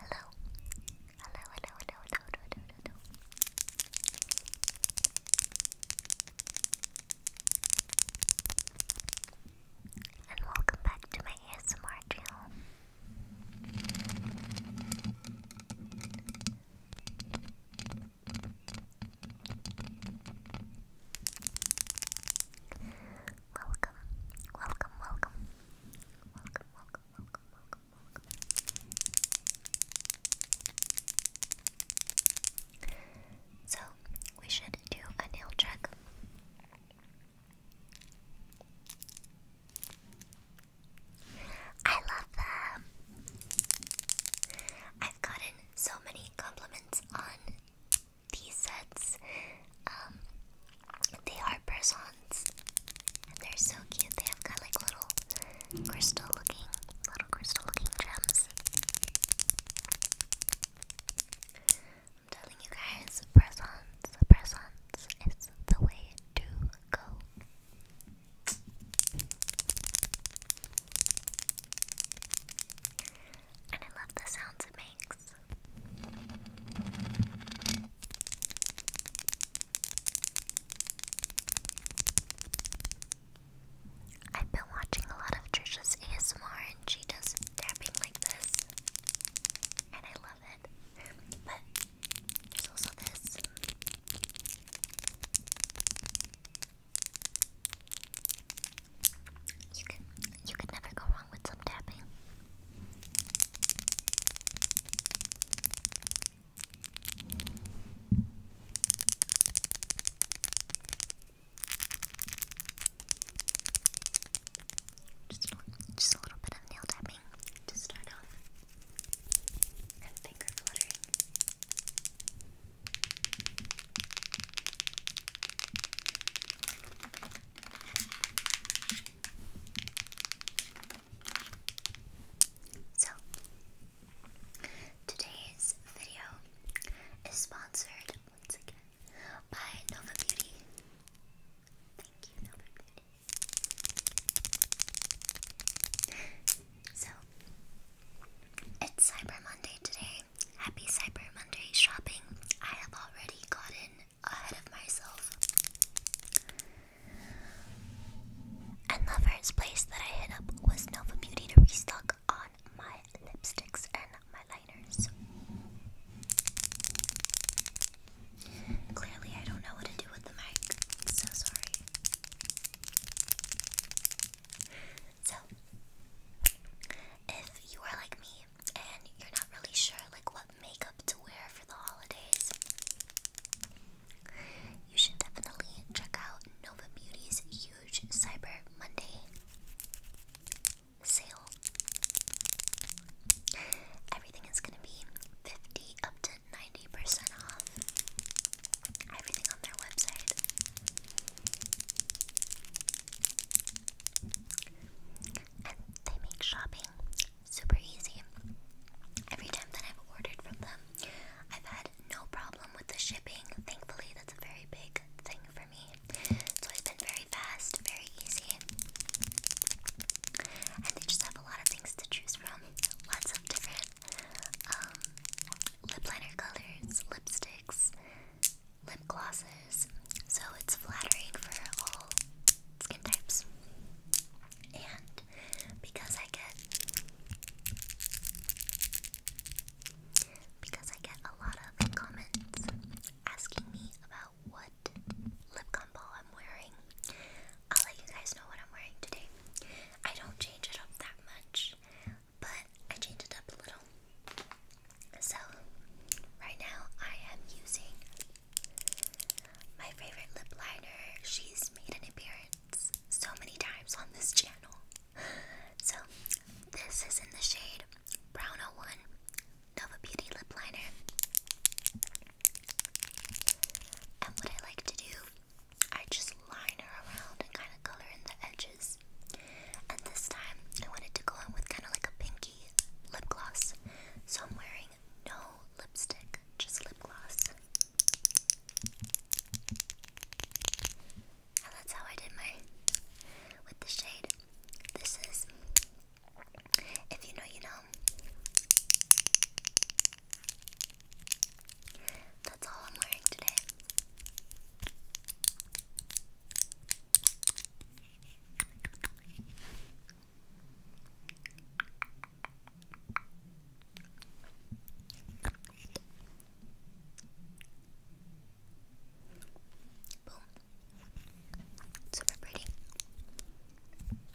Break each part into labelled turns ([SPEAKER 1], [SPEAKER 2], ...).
[SPEAKER 1] Hello. Hello, hello, hello, hello, hello, And welcome back to my ASMR channel. Welcome, welcome, welcome. Welcome, welcome, welcome, So, we should do a nail check. I love them. I've gotten so many compliments on these sets. Um, they are persons, and they're so cute. They have got like little crystal-looking, little crystal-looking gems. I'm telling you guys, presents, presents is the way to go. And I love the sounds it makes. I've been watching a lot of Trisha's ASMR and she does tapping like this. And I love it. But there's also this. You can you can never go wrong with some tapping. Just a little bit of nail tapping to start off. And finger fluttering. So, today's video is sponsored once again by Nova Beauty. Thank you, Nova Beauty. So, it's Cyber Monday today. Happy Cyber Monday shopping. I have already gotten ahead of myself. And the first place that I hit up was Nova Beauty to restock on my lipsticks and my liners. Clearly, I don't know what to do with the mic. So sorry. So, if you are like me and you're not really sure like what makeup to wear for the holidays, you should definitely check out Nova Beauty's huge Cyber Monday sale. Everything is going to be 50 up to 90% off everything on their website. And they make shopping super easy. Every time that I've ordered from them, I've had no problem with the shipping. Thankfully, that's a very big thing for me. It's always been very fast, very easy. And they just have a lot of things to choose from. Lots of different um, lip liner colors, lipsticks, lip glosses. So it's flattering for all skin types. And because I get because I get a lot of comments asking me about what lip combo I'm wearing, I'll let you guys know what I'm wearing today. I don't change it up that much, but I change it up a little. So, right now I am using my favorite lip liner. She's made an appearance so many times on this channel. So, this is in the shade Brown 01 Nova Beauty Lip Liner. And what I like to do, I just line her around and kind of color in the edges. And this time, I wanted to go in with kind of like a pinky lip gloss. So I'm wearing no lipstick, just lip gloss. And that's how I did my with the shade. This is if you know, you know. That's all I'm wearing today. Boom. Super pretty.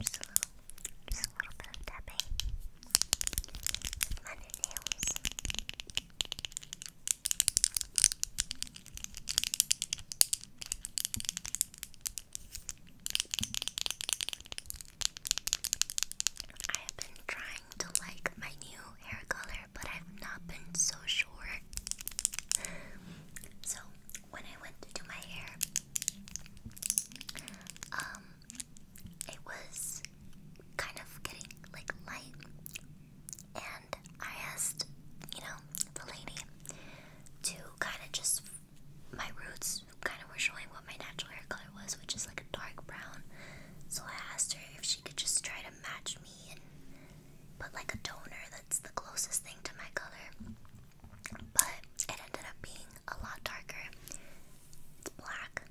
[SPEAKER 1] Just a little, just a little bit of tapping with my nails. I have been trying to like my new hair color but I've not been so sure. So when I went to do my hair, um, it was kind of getting like light, and I asked, you know, the lady to kind of just my roots kind of were showing what my natural hair color was, which is like a dark brown. So I asked her if she could just try to match me but like a toner that's the closest thing to my color. But it ended up being a lot darker. black.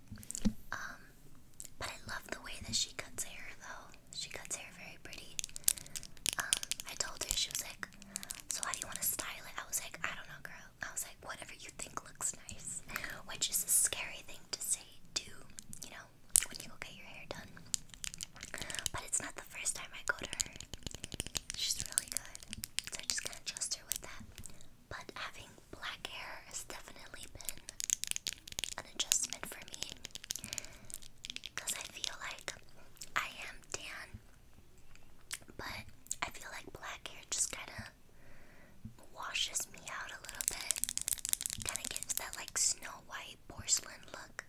[SPEAKER 1] Um, but I love the way that she cuts hair though. She cuts hair very pretty. Um, I told her she was like, "So how do you want to style it?" I was like, "I don't know, girl." I was like, "Whatever you think looks nice," which is a scary thing to say, too. You know, when you go get your hair done. But it's not the first time I go to her. She's really good. So I just kinda trust her with that. But having black hair has definitely been an adjustment for me. Because I feel like I am tan. But I feel like black hair just kinda washes me out a little bit. Kind of gives that like snow white porcelain look.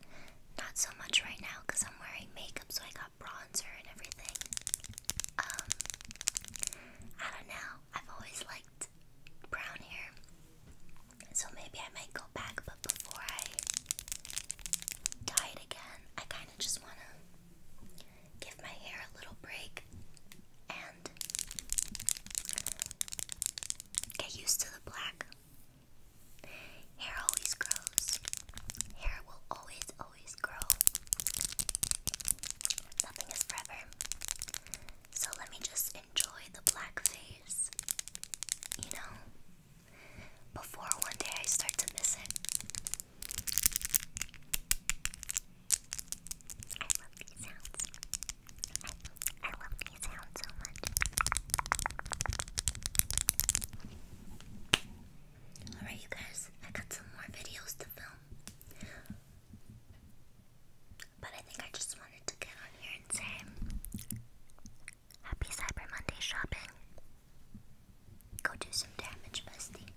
[SPEAKER 1] Not so much right now because I'm wearing makeup, so I got bronzer and everything. Um, I don't know. I've always liked brown hair, so maybe I might go back. But before I dye it again, I kind of just want to give my hair a little break and get used to the black. Hair always grows. Hair will always, always grow. Nothing is forever. So let me just enjoy the black phase. You know? Before one day I start to miss it. I love these sounds. I, I love these sounds so much. Alright, you guys, I got some more videos to film. But I think I just wanted to get on here and say Happy Cyber Monday shopping. Go do some damage, bestie.